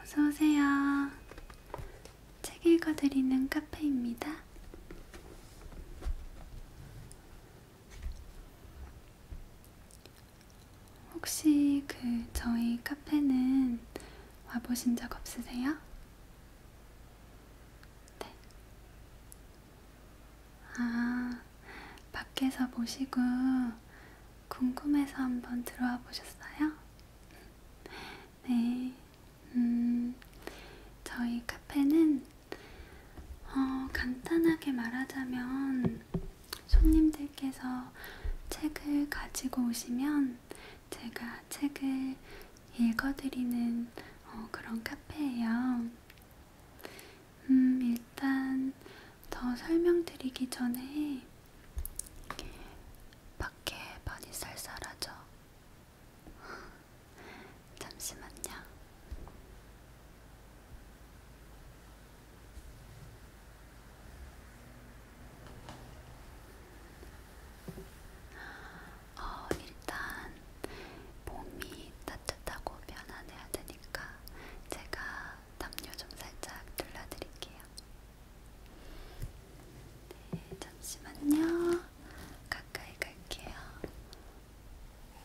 어서오세요. 책 읽어드리는 카페입니다. 혹시 그 저희 카페는 와보신 적 없으세요? 네. 아, 밖에서 보시고 궁금해서 한번 들어와 보셨어요? 네. 음, 저희 카페는 어, 간단하게 말하자면 손님들께서 책을 가지고 오시면 제가 책을 읽어드리는 어, 그런 카페예요. 음, 일단 더 설명드리기 전에 밖에 많이 쌀쌀하죠? 잠시만요. 어, 일단 몸이 따뜻하고 편안해야 되니까 제가 담요 좀 살짝 둘러드릴게요. 네, 잠시만요. 가까이 갈게요. 음,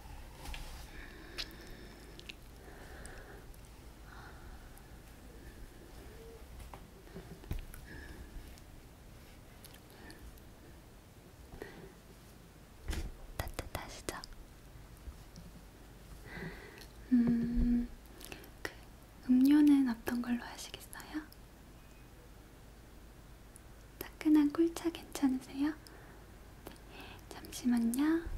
따뜻하시죠? 음, 그 음료는 어떤 걸로 하시겠어요? 따끈한 꿀차 괜찮으세요? 네, 잠시만요.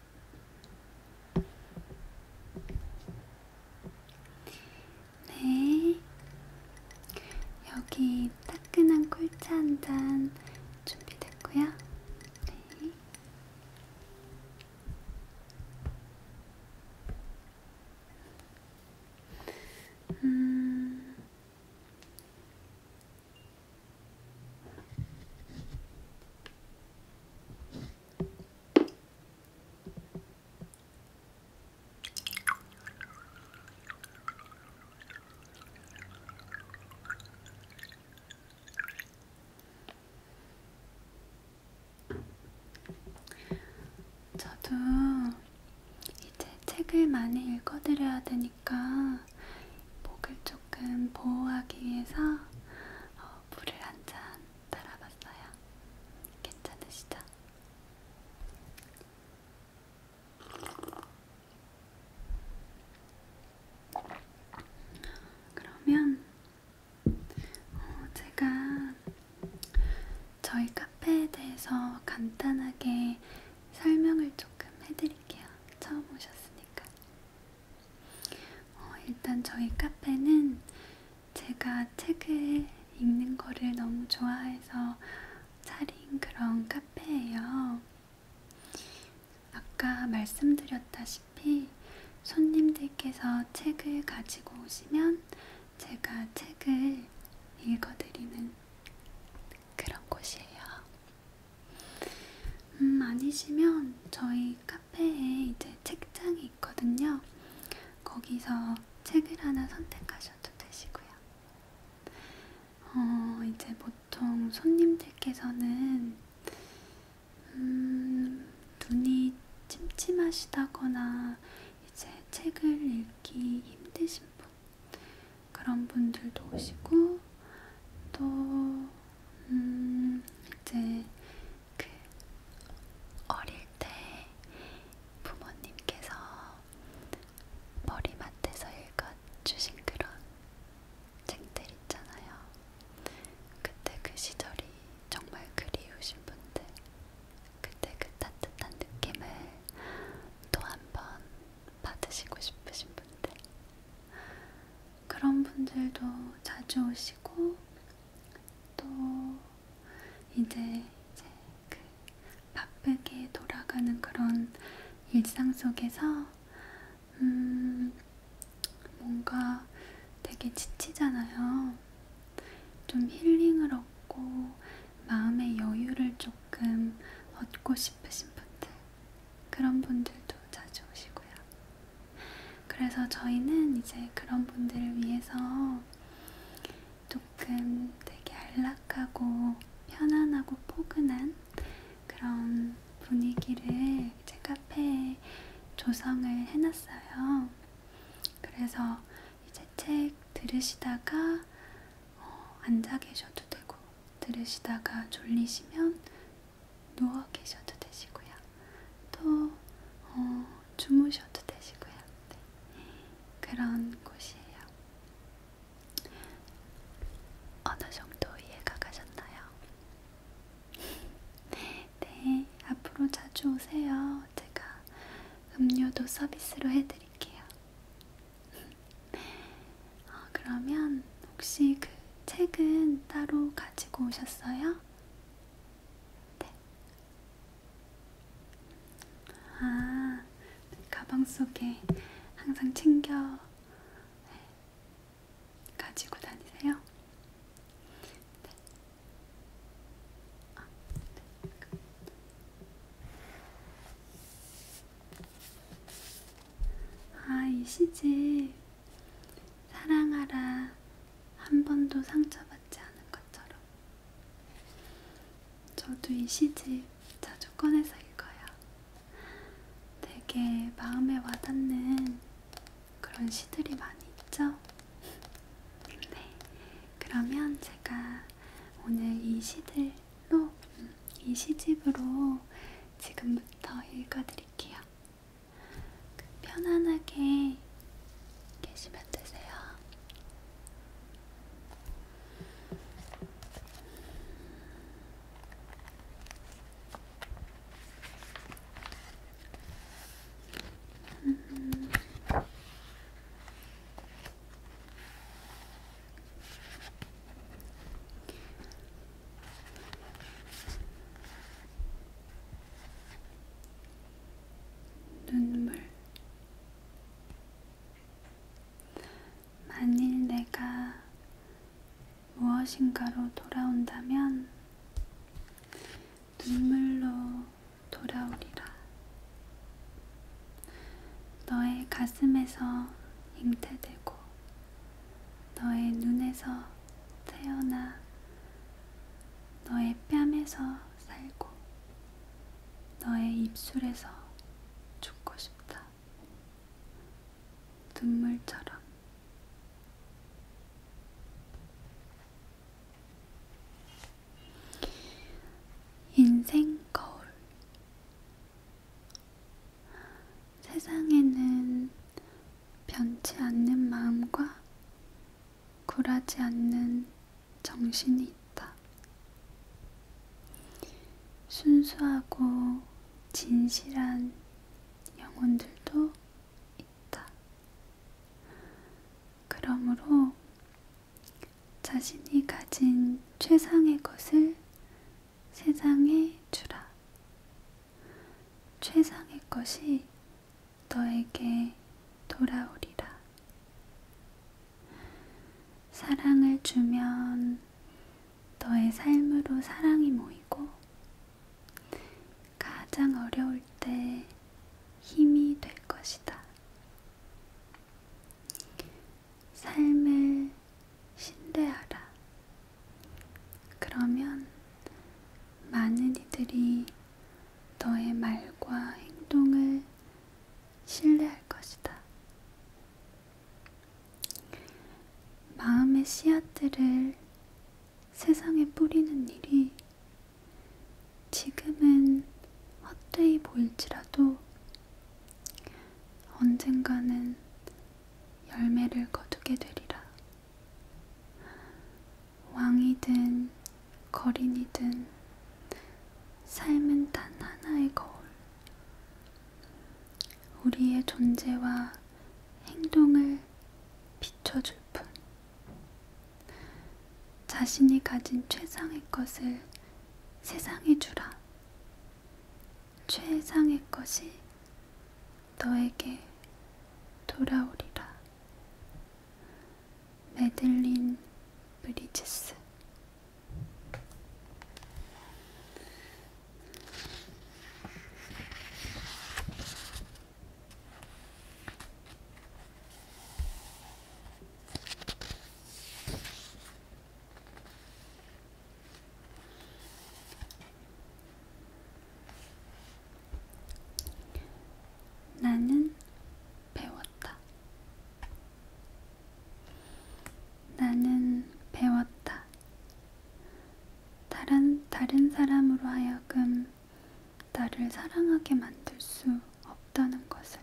네. 여기 따끈한 꿀차 한잔 준비됐고요. 네. 음. 저도 이제 책을 많이 읽어드려야 되니까 목을 조금 보호하기 위해서 어, 물을 한잔 달아봤어요. 괜찮으시죠? 그러면 어, 제가 저희 카페에 대해서 간단하게 설명을 조금 해드릴게요. 처음 오셨으니까. 어, 일단 저희 카페는 제가 책을 읽는 거를 너무 좋아해서 차린 그런 카페예요. 아까 말씀드렸다시피 손님들께서 책을 가지고 오시면 제가 책을 읽어드리는 그런 곳이에요. 음, 아니시면 저희 카페 카페에 이제 책장이 있거든요. 거기서 책을 하나 선택하셔도 되시고요. 어, 이제 보통 손님들께서는 음, 눈이 침침하시다거나 이제 책을 읽기 힘드신 분 그런 분들도 오시고 또 음, 이제 그 어릴 때 부모님께서 머리맡에서 읽어주신 그런 책들 있잖아요. 그때 그 시절이 정말 그리우신 분들, 그때 그 따뜻한 느낌을 또 한 번 받으시고 싶으신 분들, 그런 분들도 자주 오시고 또 이제 이제 그 바쁘게 돌아가는 그런 일상 속에서 음 뭔가 되게 지치잖아요. 좀 힐링을 얻고 마음의 여유를 조금 얻고 싶으신 분들 그런 분들도 자주 오시고요. 그래서 저희는 이제 그런 분들을 위해서 조금 되게 안락하고 편안하고 포근한 그런 분위기를 제 카페에 조성을 해놨어요. 그래서 이제 책 들으시다가 어, 앉아 계셔도 되고 들으시다가 졸리시면 누워 계셔도 되시고요. 또 어, 주무셔도 되시고요. 네. 그런 곳이에요. 어느 정도 이해가 가셨나요? 네, 앞으로 자주 오세요. 제가 음료도 서비스로 해드릴게요. 어, 그러면 혹시 그 책은 따로 가지고 오셨어요? 네. 아, 네, 가방 속에 항상 챙겨 네. 가지고 다니세요? 네. 아, 네. 아, 이 시집 사랑하라 한 번도 상처받지 않은 것처럼. 저도 이 시집 자주 꺼내서 읽어요. 되게 마음에 와닿는 그런 시들이 많이 있죠? 네. 그러면 제가 오늘 이 시들로, 음, 이 시집으로 지금부터 읽어드릴게요. 그 편안하게 계시면 되세요. 음. 눈물 만일 내가 무엇인가로 돌아온다면 눈물로 돌아오리라. 너의 가슴에서 잉태되고 너의 눈에서 태어나 너의 뺨에서 살고 너의 입술에서 죽고 싶다. 눈물처럼. 인생 거울. 세상에는 변치 않는 마음과 굴하지 않는 정신이 있다. 순수하고 진실한 영혼들도 있다. 그러므로 자신이 가진 최상의 것을 세상에 주라. 최상의 것이 너에게 돌아오리라. 사랑을 주면 너의 삶으로 사랑이 모이고 가장 어려울 때 힘이 될 것이다. 삶을 신뢰하라. 그러면 많은 이들이 너의 말과 행동을 신뢰할 것이다. 마음의 씨앗들을 세상에 뿌리는 일이 지금은 헛되이 보일지라도 언젠가는 열매를 거두게 되리라. 왕이든 거린이든 삶은 단 하나의 거울. 우리의 존재와 행동을 비춰줄 뿐. 자신이 가진 최상의 것을 세상에 주라. 최상의 것이 너에게 돌아오리라. 메들린 브리지스 나는 배웠다. 나는 배웠다. 다른, 다른 사람으로 하여금 나를 사랑하게 만들 수 없다는 것을.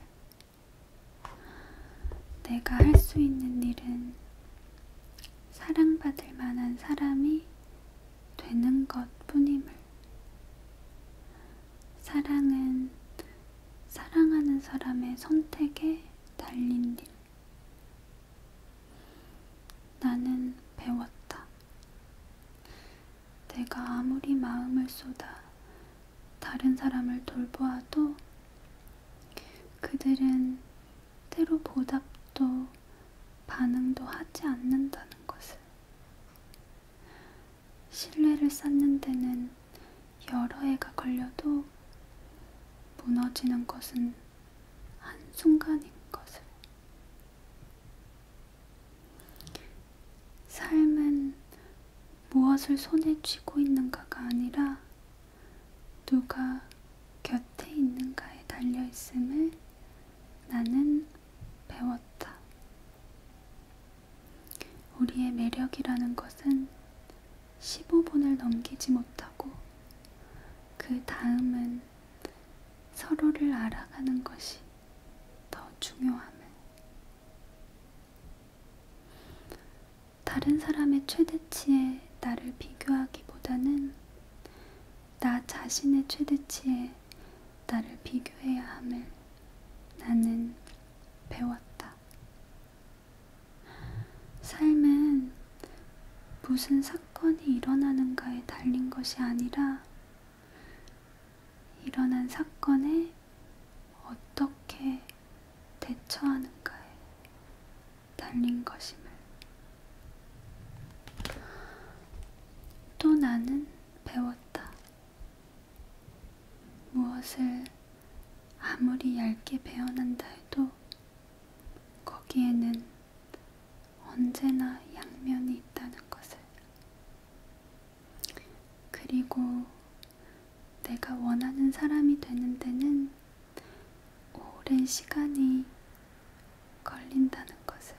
내가 할 수 있는 일은 사랑받을 만한 사람이 되는 것 뿐임을. 사랑은 사랑하는 사람의 선택에 달린 일. 나는 배웠다. 내가 아무리 마음을 쏟아 다른 사람을 돌보아도 그들은 때로 보답도 반응도 하지 않는다는 것을. 신뢰를 쌓는 데는 여러 해가 걸려도 무너지는 것은 한순간인 것을. 삶은 무엇을 손에 쥐고 있는가가 아니라 누가 곁에 있는가에 달려있음을 나는 배웠다. 우리의 매력이라는 것은 15분을 넘기지 못하고 그 다음은 서로를 알아가는 것이 더 중요함을. 다른 사람의 최대치에 나를 비교하기보다는 나 자신의 최대치에 나를 비교해야 함을 나는 배웠다. 삶은 무슨 사건이 일어나는가에 달린 것이 아니라 일어난 사건에 어떻게 대처하는가에 달린 것임을. 또 나는 배웠다. 무엇을 아무리 얇게 베어난다 해도 거기에는 언제나 양면이 있다는 것을. 그리고 내가 원하는 사람이 되는 데는 오랜 시간이 걸린다는 것을.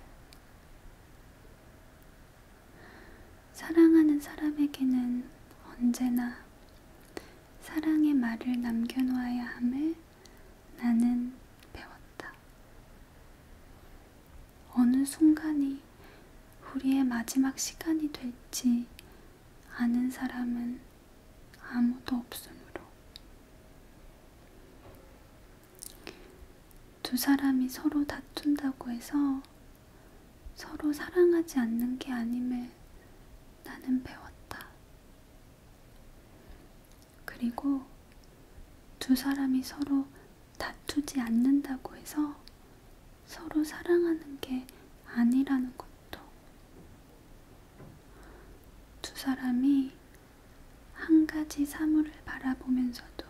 사랑하는 사람에게는 언제나 사랑의 말을 남겨놓아야 함을 나는 배웠다. 어느 순간이 우리의 마지막 시간이 될지 아는 사람은 아무도 없으므로 두 사람이 서로 다툰다고 해서 서로 사랑하지 않는 게 아님을 나는 배웠다. 그리고 두 사람이 서로 다투지 않는다고 해서 서로 사랑하는 게 아니라는 것도 두 사람이 한 가지 사물을 바라보면서도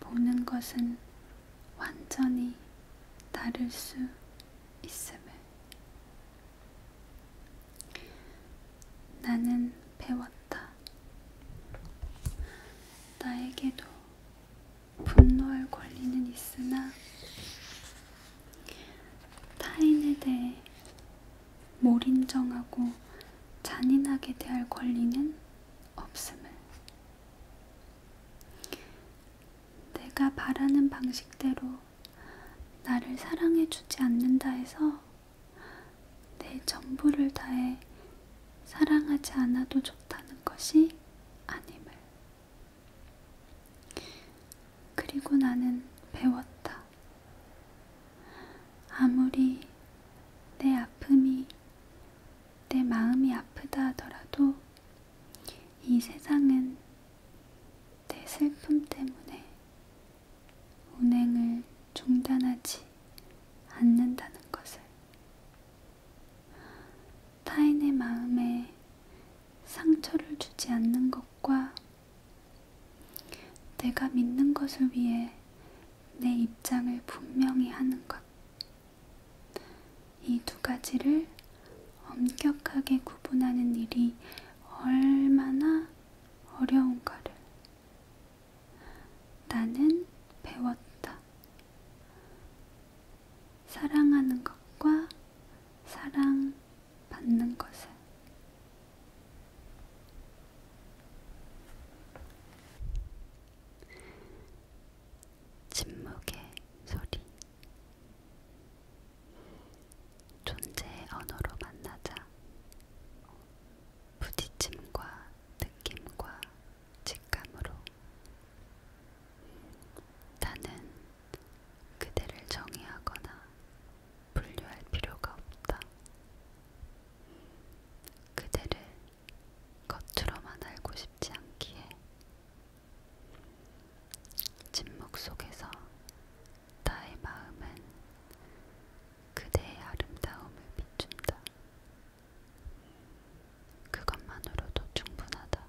보는 것은 완전히 다를 수 있음을 나는 배웠다. 나에게도 분노할 권리는 있으나 타인에 대해 몰인정하고 잔인하게 대할 권리는 없음을 내가 바라는 방식대로 나를 사랑해주지 않는다 해서 내 전부를 다해 사랑하지 않아도 좋다는 것이 아님을. 그리고 나는 배웠다. 아무리 내 아픔이 내 마음이 아프다 하더라도 이 세상은 내 슬픔 때문에 운행을 중단하지 않는다는 것을 타인의 마음에 상처를 주지 않는 것과 내가 믿는 것을 위해 내 입장을 분명히 하는 것. 이 두 가지를 엄격하게 구분하는 일이 얼마나 어려운가를 나는 배웠다. 사랑하는 것과 사랑받는 것을. 침묵의 소리 존재의 언어로 만나자 부딪힘과 느낌과 직감으로 나는 그대를 정의하거나 분류할 필요가 없다. 그대를 겉으로만 알고 싶지 않기에 침묵 속에서 나의 마음은 그대의 아름다움을 비춘다. 그것만으로도 충분하다.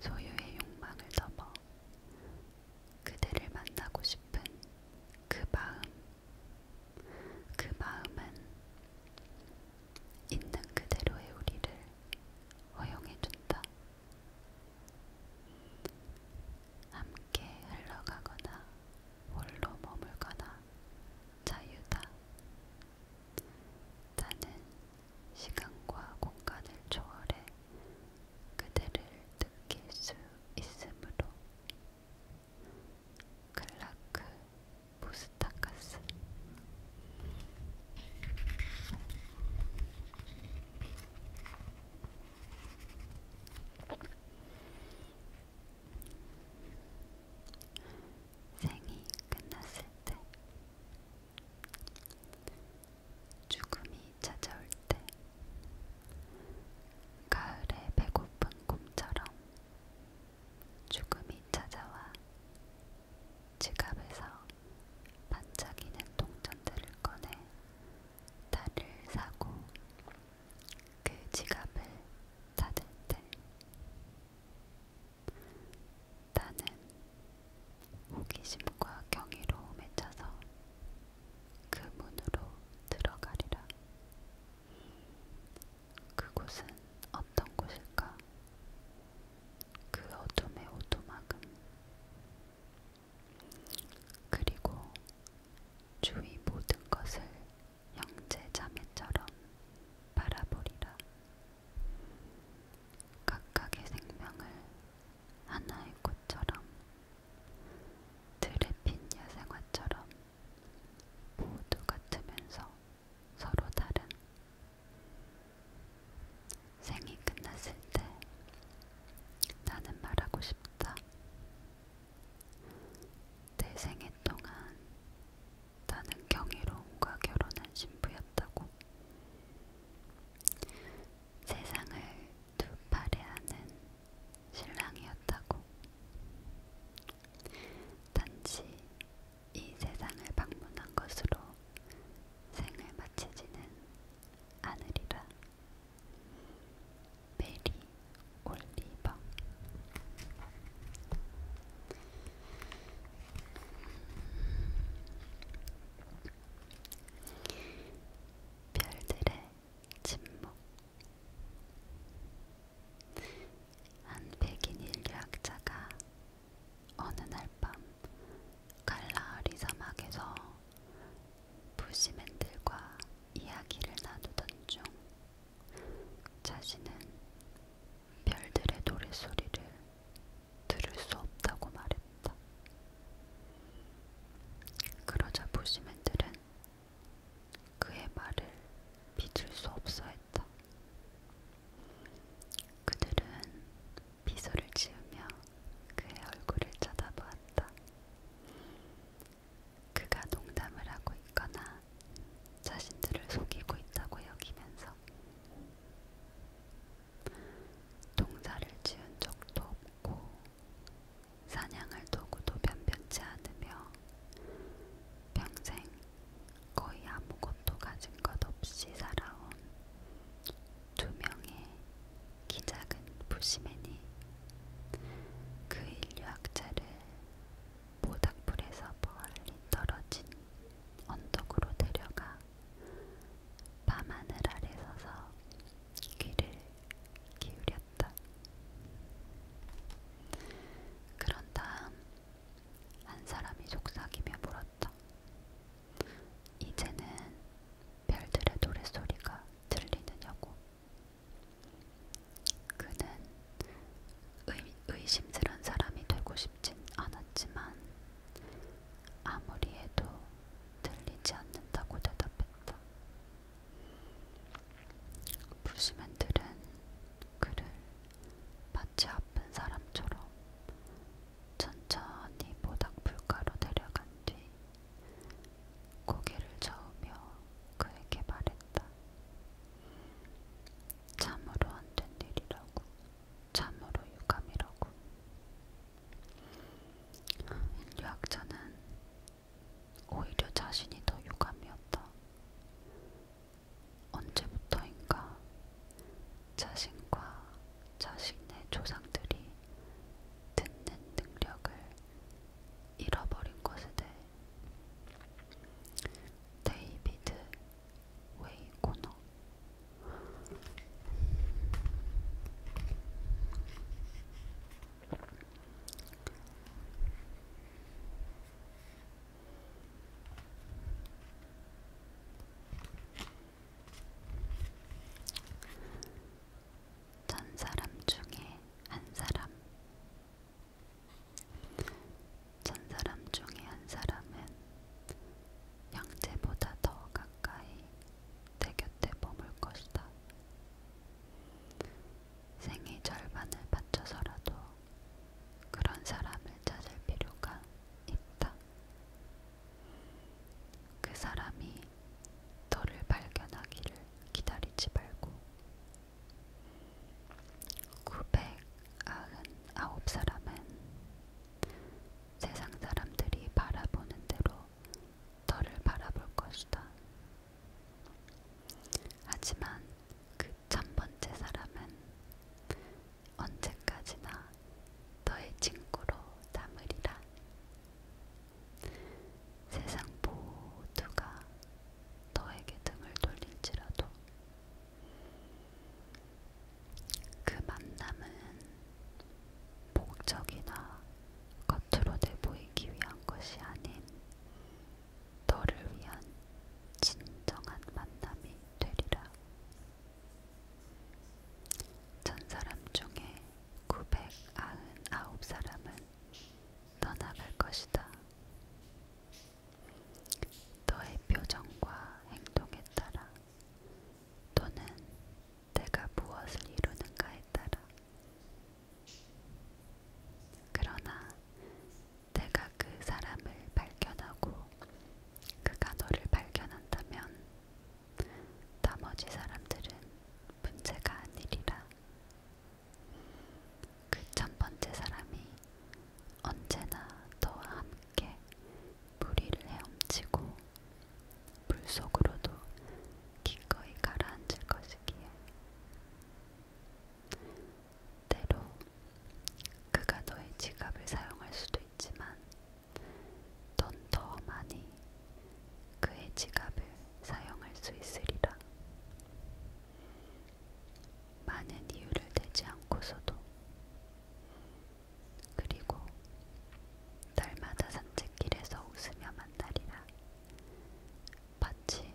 소유의 욕망을 넘어 그대를 만나고 싶은 그 마음, 그 마음은 있는 그대로의 우리를 허용해준다. 함께 흘러가거나 홀로 머물거나 자유다. 나는 시간과 공간을 초월해 그대를 느낄 수 있으므로 클라크 보스타카스 생이 끝났을 때 죽음이 찾아올 때 가을에 배고픈 곰처럼 죽음이 찾아와 지갑에서 반짝이는 동전들을 꺼내 달을 사고 그 지갑을 닫을 때 나는 호기심과 경이로움에 차서 그 문으로 들어가리라. 그곳은 어떤 곳일까? 그 어둠의 오두막은 그리고 주위 모든 것을 형제 자매처럼 바라보리라. 각각의 생명을 하나의 꽃처럼 들에 핀 야생화처럼 모두 같으면서 서로 다른 생이 끝났을 때 나는 말하고 싶다. 내 생애 동안 나는 경이로움과 결혼한 신부였다고. 세상을 두 팔에 안은 신랑이었다고. 단지 이 세상을 방문한 것으로 생을 마치지는 않으리라. 메리 올리버 별들의 침묵. 한 백인 인류학자가 어느 날 밤 갈라리 사막에서 부시맨들과 이야기를 나누던 중 자신은 별들의 노랫소리를 들을 수 없다고 말했다. 그러자 부시맨들은 그의 말을 믿을 수 없어 했다. 그들은 미소를 지으며 그의 얼굴을 쳐다보았다. 그가 농담을 하고 있거나 자신들을 속이고 있다고 여기면서 동사를 지은 적도 없고 사냥을 도구도 변변치 않으며 평생 거의 아무것도 가진 것 없이 살아온 두 명의 키 작은 부시맨이 그 인류학자를 모닥불에서 멀리 떨어진 언덕으로 데려가 밤하늘 아래 서서 귀를 기울여 되었다. 그런 다음 한 사람이 속삭이며 물었다. 이제는 별들의 노랫소리가 들리느냐고. 그는 의, 의심스런 사람이 되고 싶진 않았지만 아무리 해도 들리지 않는다고 대답했다. 불시맨들은 그를 마치 아픈 사람처럼 천천히 모닥불가로 내려간 뒤 고개를 저으며 그에게 말했다. 참으로 안 된 일이라고, 참으로 유감이라고. 인류학자는 오히려 자신이 더 유감이었다. 언제부터인가 자신과 자신의 조상들이 듣는 능력을 잃어버린 것에 대해 데이비드 웨이코너 천 사람 중에 한 사람. 천 사람 중에 한 사람은 형제보다 더 가까이 내 곁에 머물 것이다. 생의 절반을 바쳐서라도 그런 사람을 찾을 필요가 있다. 그 사람이 너를 발견하기를 기다리지 말고 999사람은 세상 사람들이 바라보는 대로 너를 바라볼 것이다. 하지만 그 첫 번째 사람은 언제까지나 너의 친구로 남으리라. 세상 모두가 너에게 등을 돌릴지라도 그 만남은 목적이나 겉으로 내보이기 위한 것이 아닌 너를 위한 진정한 만남이 되리라. 천 사람 중에 999사람은 떠나갈 것이다. 너의 표정과 행동에 따라 또는 내가 무엇을 이루는가에 따라 그러나 내가 그 사람을 발견하고 그가 너를 발견한다면 나머지 사람들은 문제가 아니리라. 그 첫 번째 사람이 언제나 너와 함께 무리를 헤엄치고 물속으로도 기꺼이 가라앉을 것이기에 때로 그가 너의 지갑을 사용할 수도 있지만 넌 더 많이 그의 지갑을 사용할 수 있으리라. 많은 이유를 대지 않고서도 그리고 날마다 산책길에서 웃으며 만나리라. 마치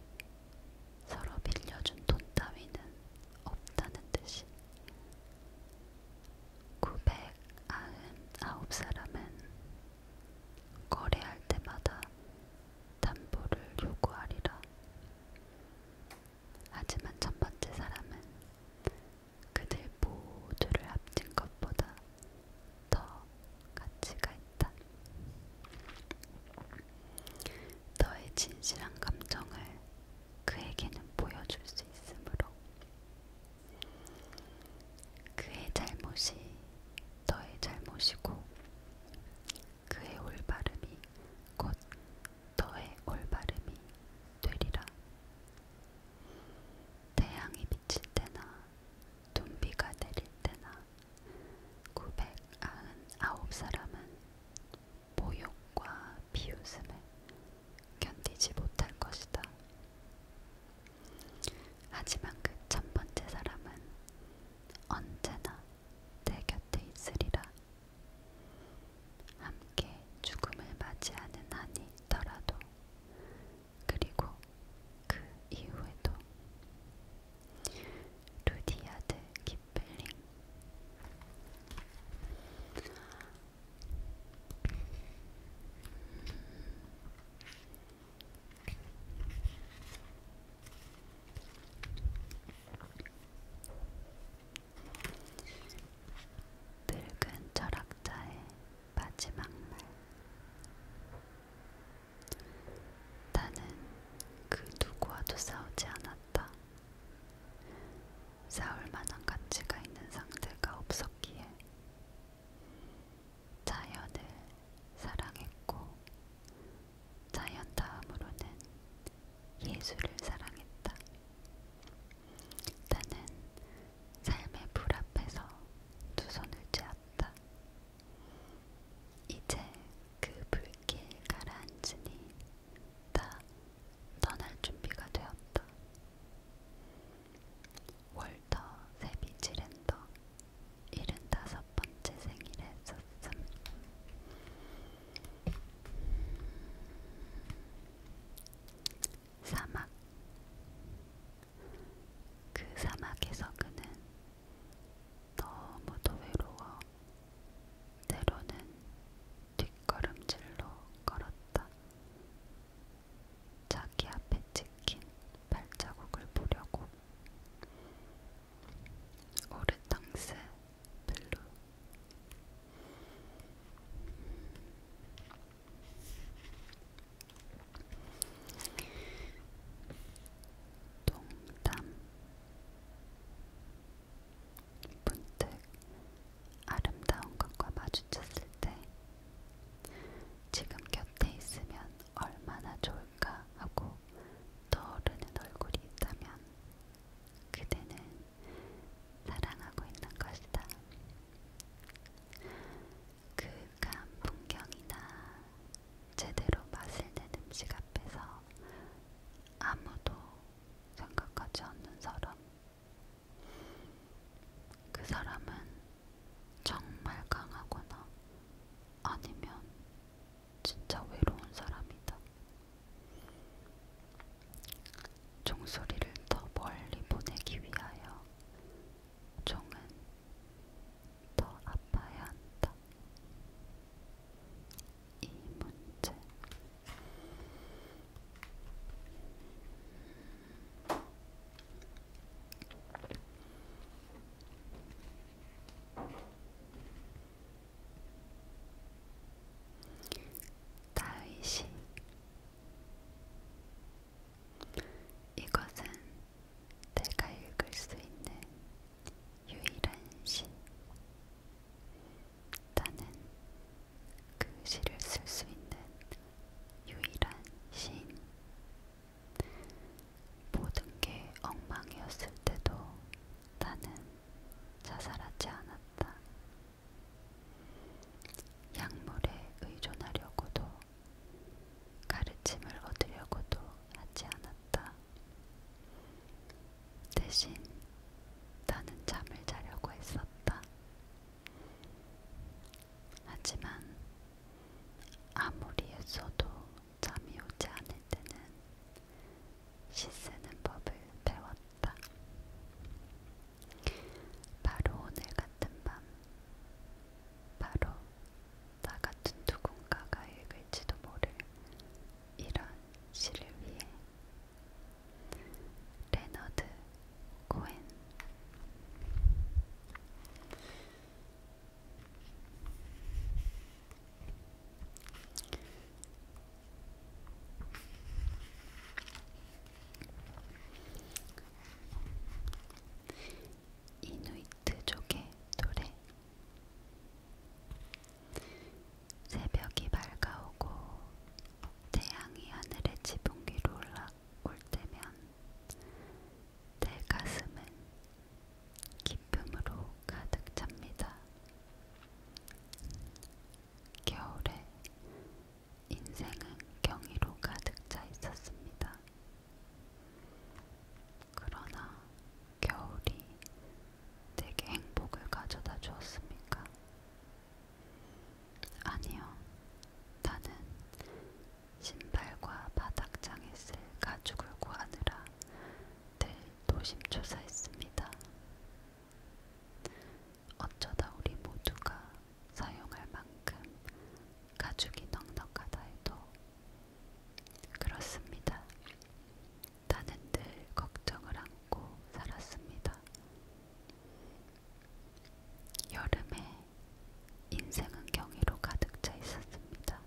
서로 빌려준 돈 따위는 없다는 듯이 999사람은 거래할 때마다 담보를 요구하리라. 하지만 첫 번째 사람은 그들 모두를 합친 것보다 더 가치가 있다. 너의 진실한 감정을 그에게는 보여줄 수 있으므로 그의 잘못이 너의 잘못이고 그의 올바름이 곧 너의 올바름이 되리라. 태양이 비칠 때나 눈비가 내릴 때나 999사람은 모욕과 비웃음을 견디지 못할 것이다. 하지만 그 첫 번째 사람은 언제나 내 곁에 있으리라. 함께 죽음을 맞이하는 한이 있더라도, 그리고 그 이후에도 루디아드 기플링 늙은 철학자의 마지막 말 나는 그 누구와도 싸우지 않았다. 싸울 만한 가치가 있는 상대가 없었기에 자연을 사랑했고 자연 다음으로는 예술을 사랑했다. 나는 삶의 불 앞에서 두 손을 쥐었다. 이제 그 불길 가라앉으니 나 떠날 준비가 되었다. 월터 세비 지렌더 75번째 생일에 썼음. 사막 그 사막에서 그는 너무도 외로워 때로는 뒷걸음질로 걸었다. 자기 앞에 찍힌 발자국을 보려고. 오르탕스 블루 동담 문득 아름다운 것과 마주쳤을 때 지금 곁에 있으면 얼마나 좋을까 하고 떠오르는 얼굴이 있다면 그대는 사랑하고 있는 것이다. 그윽한 풍경이나 제대로 맛을 낸 음식 앞에서 아무도 생각하지 않는 사람. 그 사람은 정말 강하거나 아니면 진짜 외로운 사람이다. 종소리를 더 멀리 보내기 위하여 종은 더 아파야 한다. 이 문제. 다윗이 이것은 내가 읽을 수 있는 유일한 시. 나는 그 시를 쓸 수 있는 유일한 시인. 모든 게 엉망이었을 때도 나는 자살하지 않았다. 약물에 의존하려고도 가르침을 얻으려고도 하지 않았다. 대신 나는 잠을 자려고 했었다. 하지만 아무리 애써도 잠이 오지 않을 때는 시쓰는 법을 배웠다. 바로 오늘 같은 밤, 바로 나 같은 누군가가 읽을지도 모를 이런 시를 위해 레너드 코엔 이누이트족의 노래 새벽이 밝아오고 태양이 하늘의 지붕 위로 올라올 때면 내 가슴은 기쁨으로 가득 찹니다. 겨울에 인생은 경이로 가득 차 있었습니다. 그러나 겨울이 내게 행복을 가져다 주었습니까? 아니요. 나는 신발과 바닥장에 쓸 가죽을 구하느라 늘 노심초사했습니다. 어쩌다 우리 모두가 사용할 만큼 가죽이 넉넉하다 해도 그렇습니다. 나는 늘 걱정을 안고 살았습니다. 여름에 인생은 경이로 가득 차 있었습니다.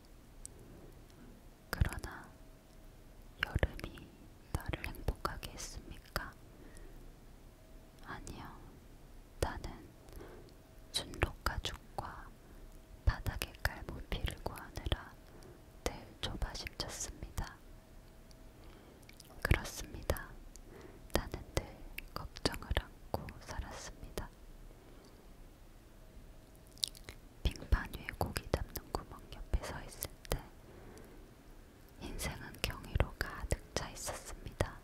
그러나 여름이 나를 행복하게 했습니까? 아니요. 나는 순록 가죽과 바닥에 깔 모피를 구하느라 늘 조바심쳤습니다. 그렇습니다. 나는 늘 걱정을 안고 살았습니다. 빙판 위에 고기 담는 구멍 옆에 서 있을 때 인생은 경이로 가득 차 있었습니다.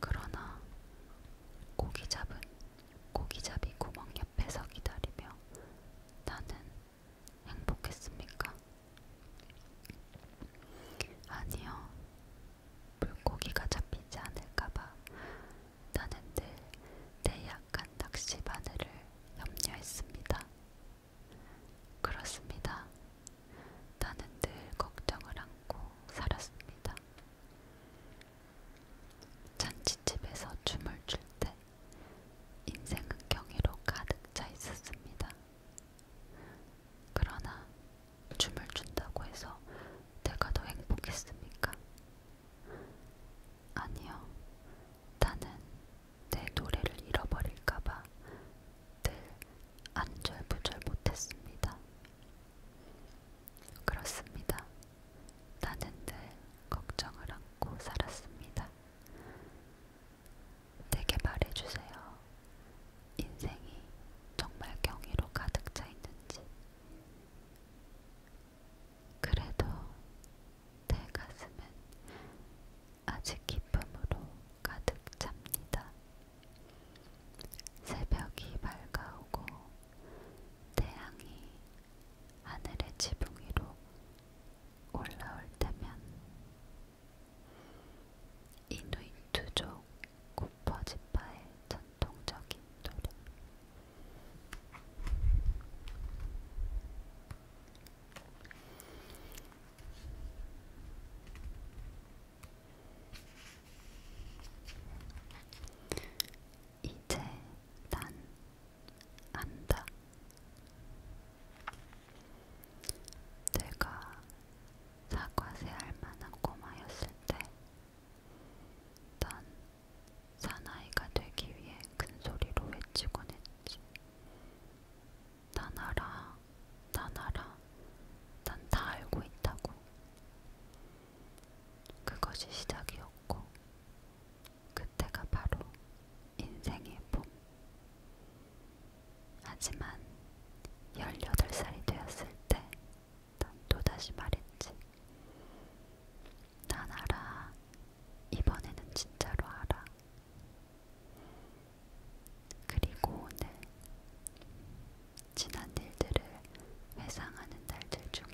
그러나 고기잡은 고기잡이 구멍 옆에서 기다리며 나는 행복했습니까? 아니요. 물고기가 잡히지 않을까봐 나는 늘 내 약한 낚시 바늘을 염려했습니다. 그렇습니다. 나는 늘 걱정을 안고 살았습니다. 잔치집에서 춤을 출 때 인생은 경이로 가득 차 있었습니다. 그러나 춤을 춘다고 해서 내가 더 행복했습니까? 아니요. 나는 내 노래를 잃어버릴까봐 늘 안절부절 못했습니다. 그렇습니다. 나는 늘 걱정을 안고 살았습니다. 내게 말해주세요. 인생이 정말 경이로 가득 차 있는지. 그래도 내 가슴은 아직 기쁨으로 가득 찹니다. 새벽이 밝아오고 태양이 하늘의 지붕 위로 올라올 때면 이누이투족 고퍼지파의 전통적인 노래 이제 난 안다. 내가 사과새 할 만한 꼬마였을 때, 난 사나이가 되기 위해 큰 소리로 외치곤 했지. 난 알아, 난 알아, 난 다 알고 있다고. 그것이 시작이었고, 그때가 바로 인생의 봄. 하지만 18살이 되었을 때난 또다시 말했지. 난 알아. 이번에는 진짜로 알아. 그리고 오늘 지난 일들을 회상하는 날들 중에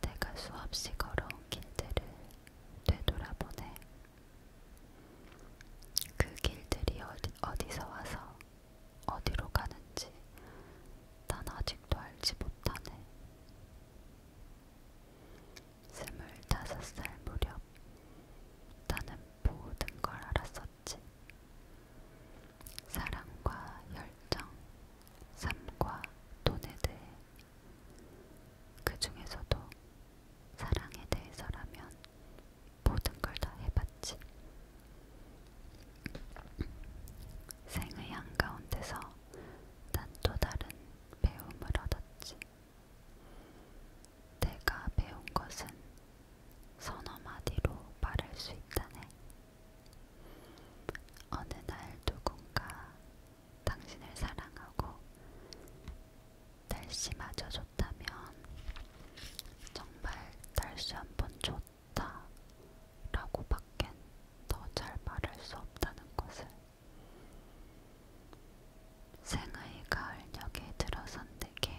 내가 수없이 걸어온 길들을 되돌아보네. 그 길들이 어디, 어디서 와서 어디로 가는지 난 아직도 알지 못하네. 스물다섯 살 무렵 나는 모든 걸 알았었지. 사랑과 열정, 삶과 돈에 대해 그 중에서도 사랑에 대해서라면 모든 걸 다 해봤지. 생의 한가운데서 난 또 다른 배움을 얻었지. 내가 배운 것은 서너 마디로 말할 수 있다네. 어느 날 누군가 당신을 사랑하고 날씨마저 좋다면 정말 날씨 한 번 좋다 라고 밖엔 더잘 말할 수 없다는 것을 생의 가을녘에 들어선 내게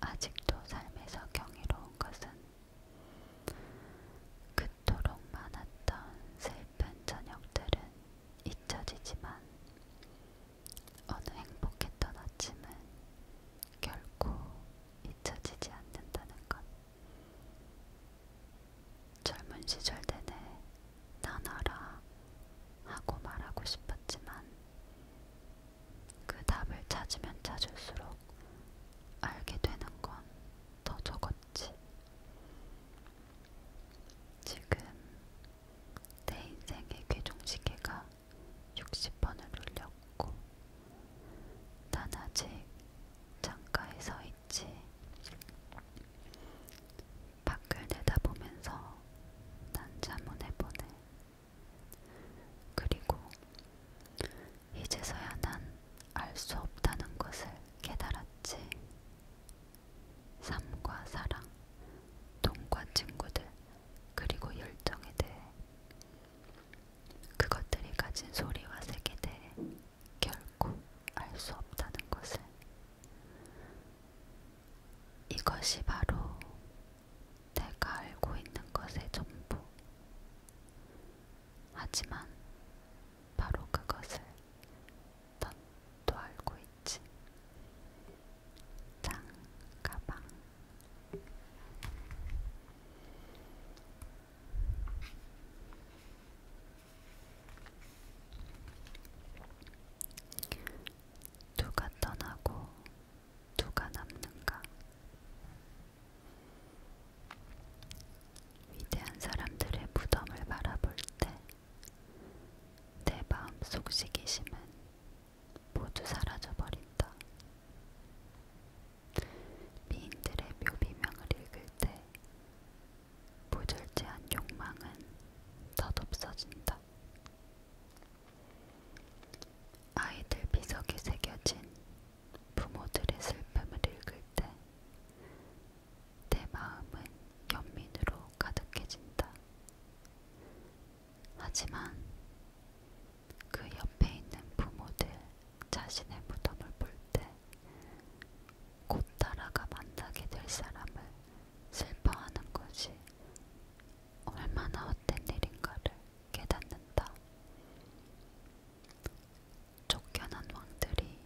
아직도 삶에서 경이로운 것은 그토록 많았던 슬픈 저녁들은 잊혀지지만 어느 행복했던 아침은 결코 잊혀지지 않는다는 것. 젊은 시절 내내 난 알아 하고 말하고 싶었지만 그 답을 찾으면 찾을수록 알게 되는 건 더 적었지. 지금 내 인생의 궤종시계가 60번을 울렸고, 난 아직 창가에 서 있지. 밖을 내다보면서 난 자문해 보네. 그리고 이제서야 난 알 수 없다는 것을 깨달았지. 삶과 사랑, 돈과 친구들, 그리고 열정에 대해 그것들이 가진 소리와 색에 대해 결코 알수 없다는 것을 이것이 바로 내가 알고 있는 것의 전부 하지만 바로 그것을 넌 또 알고 있지. 장 가방. 누가 떠나고 누가 남는가? 위대한 사람들의 무덤을 바라볼 때 내 마음속 시기심은 모두 사라져버린다. 미인들의 묘비명을 읽을 때 무절제한 욕망은 덧없어진다. 아이들 비석에 새겨진 부모들의 슬픔을 읽을 때 내 마음은 연민으로 가득해진다. 하지만 그 옆에 있는 부모들 자신의 무덤을 볼 때 곧 따라가 만나게 될 사람을 슬퍼하는 것이 얼마나 헛된 일인가를 깨닫는다. 쫓겨난 왕들이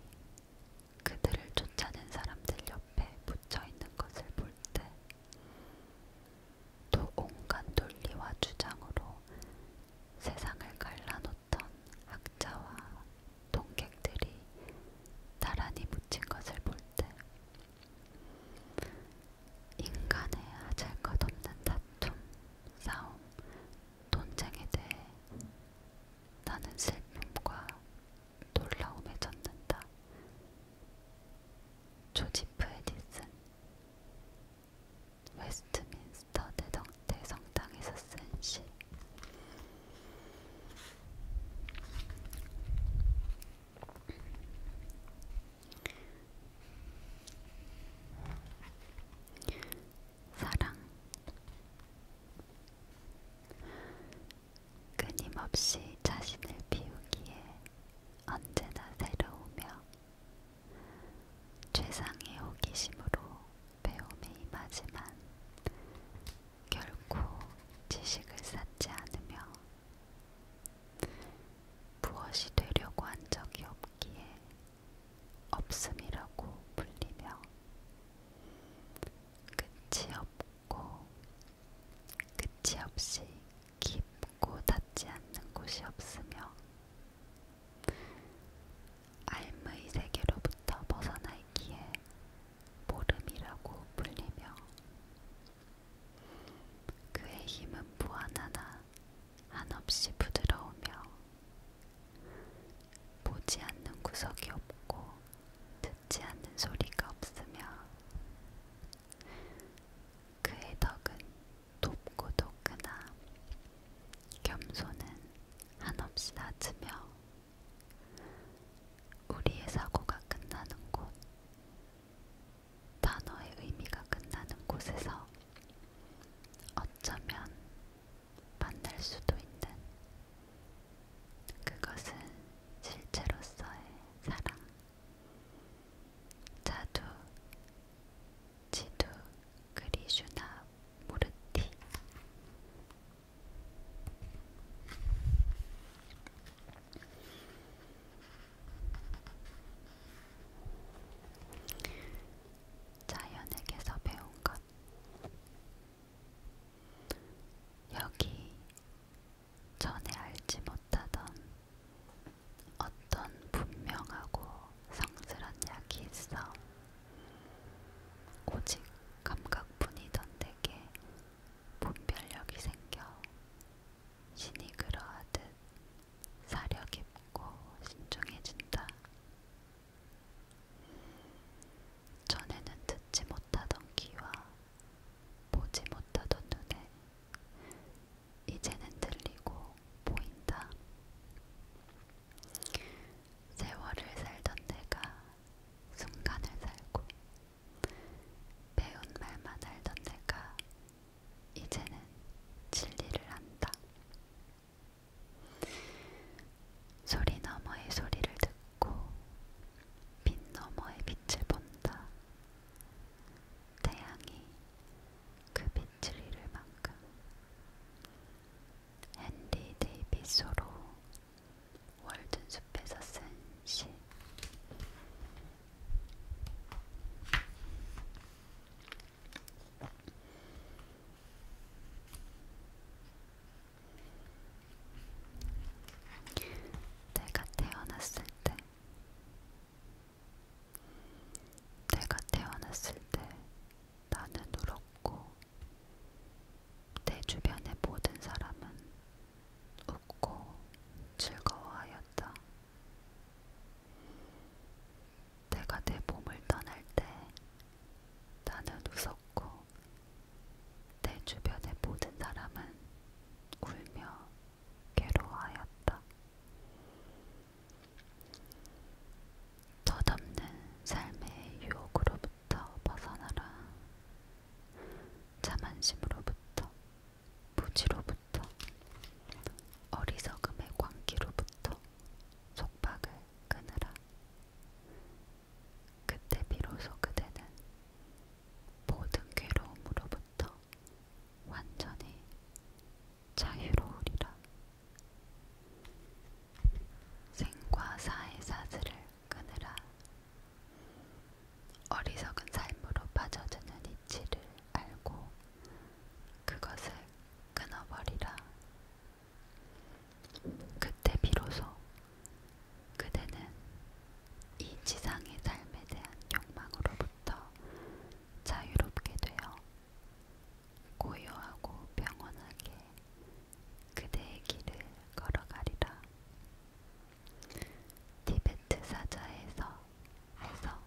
그들을 쫓아낸 사람들 옆에 붙여 있는 것을 볼때또 온갖 논리와 주장으로 세상을 갈라놓던 학자와 동객들이 나란히 묻힌 것을 볼 때 인간의 아잘것 없는 다툼, 싸움, 논쟁에 대해 나는 슬픔과 놀라움에 젖는다. 조지프 에디슨 웨스트민스터 대성, 대성당에서 쓴시 사랑 끊임없이 자신을 비우기에 언제나 새로우며 최상의 호기심으로 배움에 임하지만 결코 지식을 쌓지 않으며 무엇이 되려고 한 적이 없기에 없음이라고 불리며 끝이 없고 끝이 없이 깊고 닿지 않는 곳이 없으며 알의 세계로부터 벗어나 있기에 모름이라고 불리며 그의 힘은 무한하나 한없이 부드러우며 보지 않는 구석이 없고 듣지 않는 소리가 없으며 그의 덕은 돕고 돕거나 겸손은 한없이 낮으며 우리의 사고가 끝나는 곳 단어의 의미가 끝나는 곳에서 어쩌면 만날 수도 있는 그것은 실제로서의 사랑. 자두, 지두, 그리슈나, 무르티. 자연에게서 배운 것. 여기 전에 알지 못하던 어떤 분명하고 성스런 약이 있어. 오직 감각뿐이던 내게 분별력이 생겨 신이 그러하듯 사려 깊고 신중해진다. 전에는 듣지 못하던 귀와 보지 못하던 눈에 이제는 들리고 보인다. 세월을 살던 내가 순간을 살고 배운 말만 알던 내가 이제는 진리를 안다. 소리 너머의 소리를 듣고 빛 너머의 빛을 본다. 태양이 그 빛을 잃을 만큼 헨리 데이비소로 월든숲에서 쓴 시. 내가 태어났을 때, 내가 태어났을 때 나는 울었고, 내 주변의 모든 사람은 웃고 즐거워하였다. 내가 내 몸을 떠날 때 나는 웃었고 내 주변의 모든 사람은 울며 괴로워하였다. 덧없는 삶의 유혹으로부터 벗어나라. 자만심으로부터, 무지로부터, 어리석음의 광기로부터 속박을 끊으라. 그때 비로소 그대는 모든 괴로움으로부터 완전히 자유로우리라. 생과 사의 사슬을 끊으라. 어리석은 삶으로 빠져드는 이치를 알고 그것을 끊어버리라. 그때 비로소 그대는 이 지상의 삶에 대한 욕망으로부터 자유롭게 되어 고요하고 평온하게 그대의 길을 걸어가리라. 티베트 사자에서 해서